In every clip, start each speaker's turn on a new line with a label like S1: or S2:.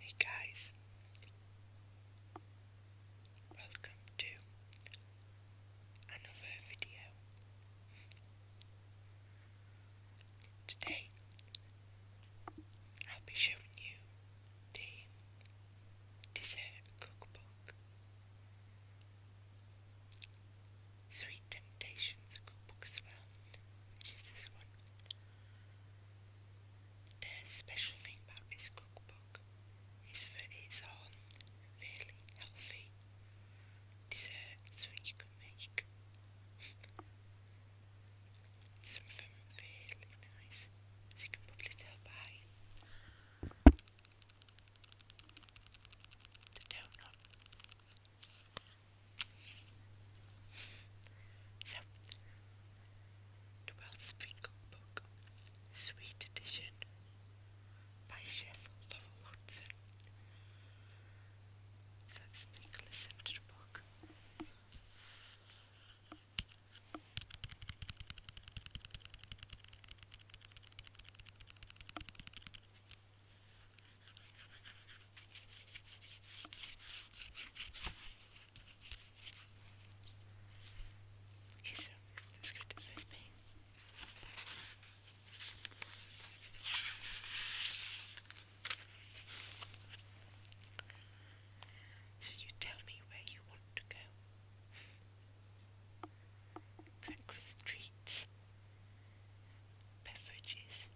S1: Hey guys, welcome to another video. Today I'll be showing you the dessert cookbook, Sweet Temptations cookbook as well, which is this one. The special thing about this cookbook is that it's on really healthy desserts that you can make. Some of them are really nice, as can probably tell by the donut. So, 12 Spring Sweet Edition by Chef Lovell Hudson. Let's listen to the book. Okay, so you tell me where you want to go. Breakfast treats, beverages,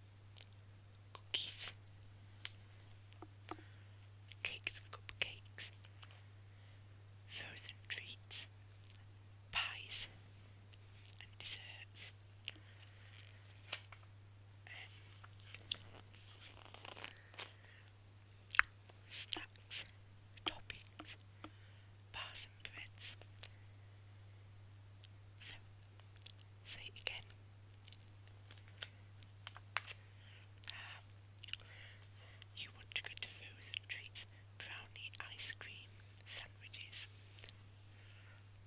S1: Cookies. Cakes cupcakes. Frozen treats. Pies and desserts. Um, snacks, toppings, bars and breads. So Say again. Um, you want to go treats, brownie, ice cream, sandwiches.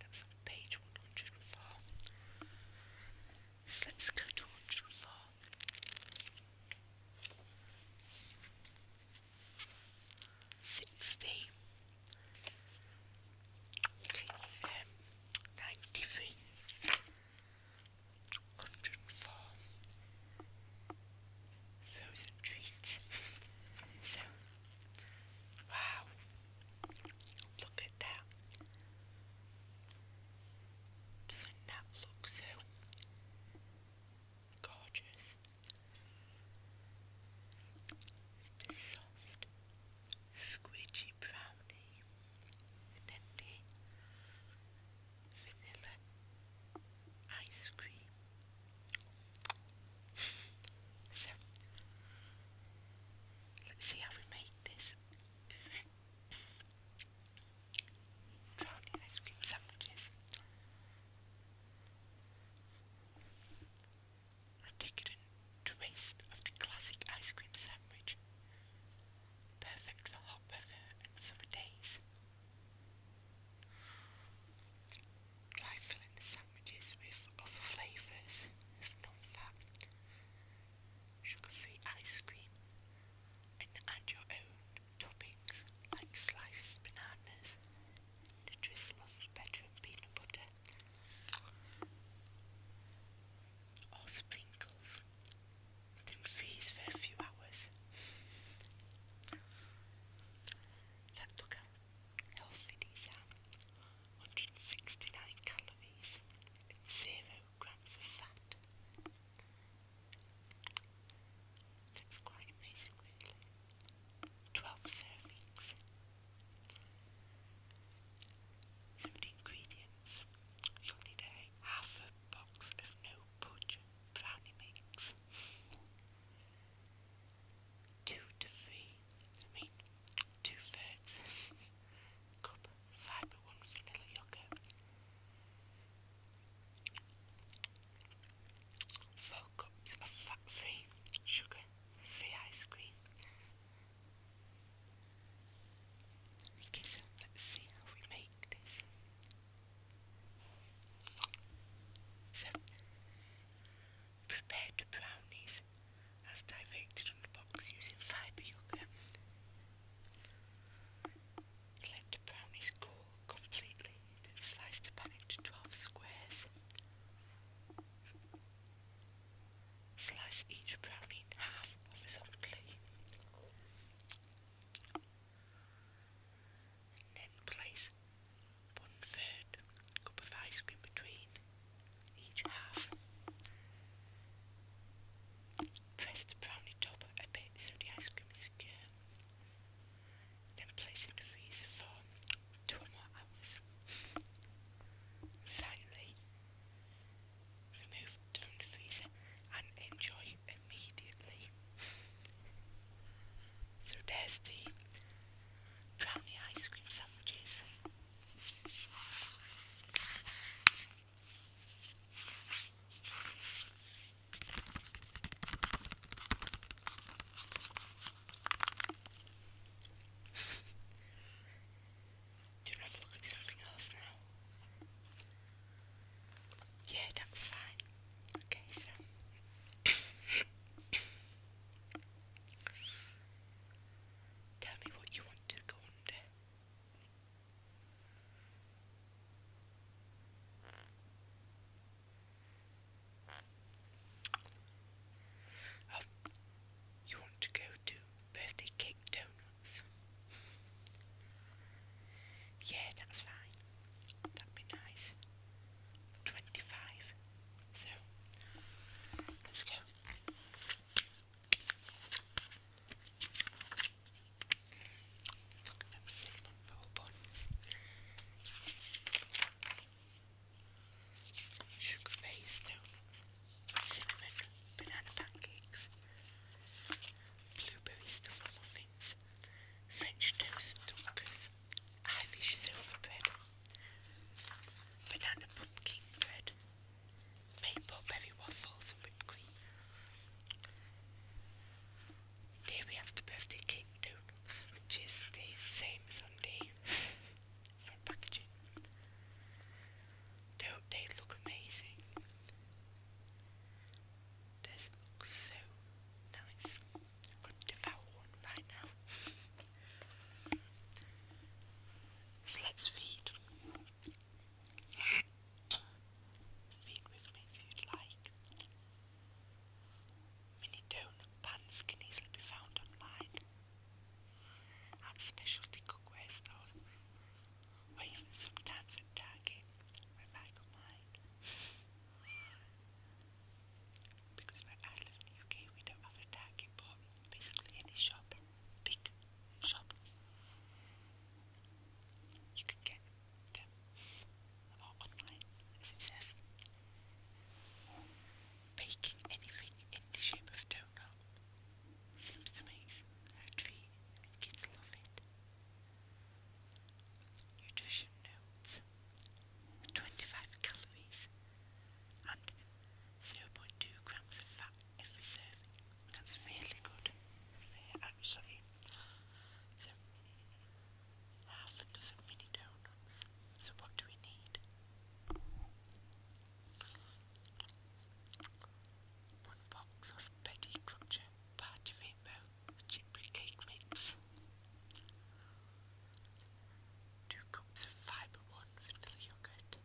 S1: That's on page 104. So let's go to 104. Sixty. Okay, um, 93, 104, frozen treats. so, wow, look at that. Doesn't that look so gorgeous? soft squidgy brownie, then vanilla ice cream. so, let's see how we make this. Brownie ice cream sandwiches are taken in of the classic ice cream sandwich. Perfect for hot weather and summer days. Try filling the sandwiches with other flavours of non sugar-free ice cream, and add your own toppings like sliced bananas, the drizzle of better peanut butter, or sprinkles within freeze for a few hours. Let's look healthy these 169 calories, 0 grams of fat. That's quite amazing really. 12 servings, some ingredients. You'll half a box of no pudge brownie mix. Two to three, I mean, two thirds cup fibre one vanilla yogurt. Four cups fat free sugar, free ice cream, Okay, so let's see how we make this. So, prepare the brownies as directed on the box using fibre yogurt. Let the brownies cool completely, then slice the pan into 12 squares. Slice each brownie in half horizontally. And then place one third cup of ice cream between each half. Press the brownie top a bit so the ice cream is secure. Then place in the freezer for Two more hours. Finally, remove from the freezer and enjoy immediately. so there's the brownie ice cream sandwiches. Do Yeah, that's fine. Okay, so tell me what you want to go under. Oh, you want to go to birthday cake donuts? yeah, that's fine. That'd be nice. 25. So, let's go. Look at them cinnamon roll sugar face donuts, cinnamon banana pancakes, blueberry stuffed muffins, French toast dunkers, Irish silver bread, banana pumpkin bread, maple berry waffles and cream. Here we have the birthday cake donuts, which is the same Sunday. for packaging. They, look amazing. This looks so nice. I'm going to devour one right now. so let's feed. feed with me if you'd like. Mini donut pans can easily be found online at specialty cookware stores or even sometimes in Target where Michael might. because where I live in the UK we don't have a Target but basically any shop, big shop, you can get them online as it says baking anything in the shape of donut seems to make kids love it. Nutrition notes 25 calories and 0.2 grams of fat every serving. That's really good. Actually, half a dozen mini donuts so, what do we need? One box of Betty Crutcher Party Rainbow Chipley Cake Mix. Two cups of Fibre One vanilla yogurt.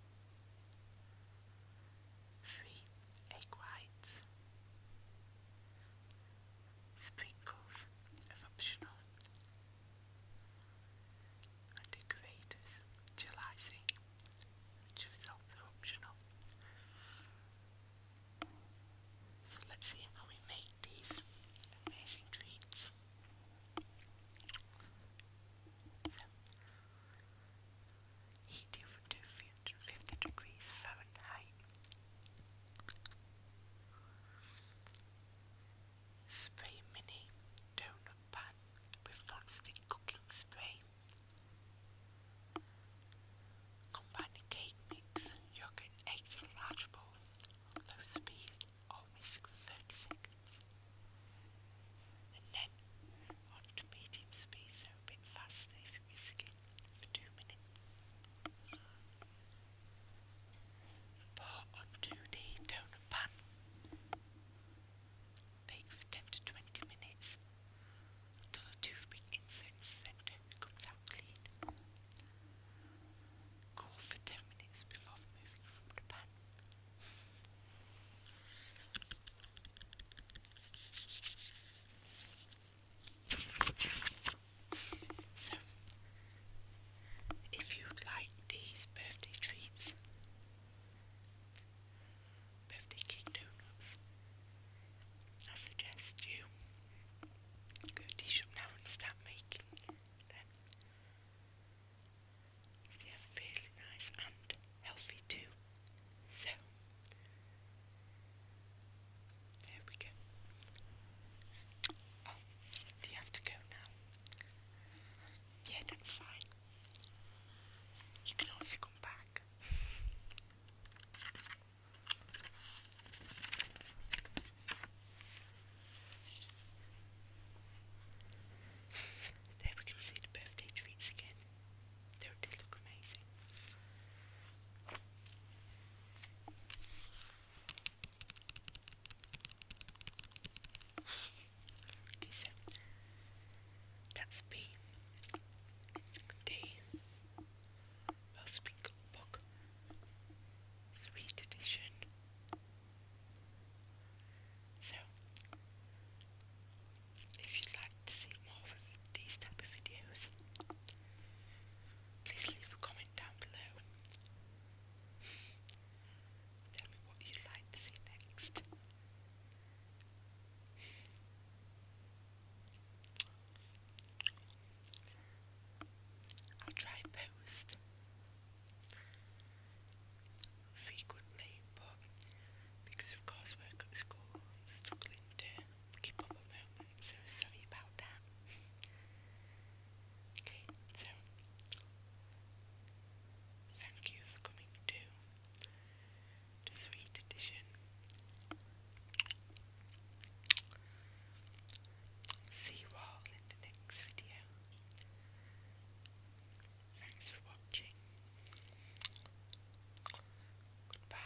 S1: Three egg whites. Sprinkles of optional and degraders till icing, which So let's see how we make these amazing treats. heat over to degrees Fahrenheit. Spray mini donut pan with non-stick cooking spray. Combine the cake mix, yogurt, eggs in a large bowl, low speed, or whisk for 30 seconds. And then on to medium speed, so a bit faster if you're whisking, for 2 minutes. Pour onto the pan. Bake for 10 to 20 minutes until the toothpick insert center comes out clean. Cool for 10 minutes before removing from the pan. So, if you'd like these birthday treats, birthday cake donuts, I suggest you go to the shop now and start making them. They are fairly nice and healthy too. So, there we go. Oh, do you have to go now? Yeah, that's fine. You can always come back. there we can see the birthday treats again. They, look amazing. Okay, so that's B. D. Wells Book. Sweet edition. So, if you'd like to see more of these type of videos, please leave a comment down below. Tell me what you'd like to see next. i try post frequently, but because of course at school, I'm struggling to keep up at the moment. So sorry about that. Okay, so thank you for coming to the sweet edition. See you all in the next video. Thanks for watching. Goodbye.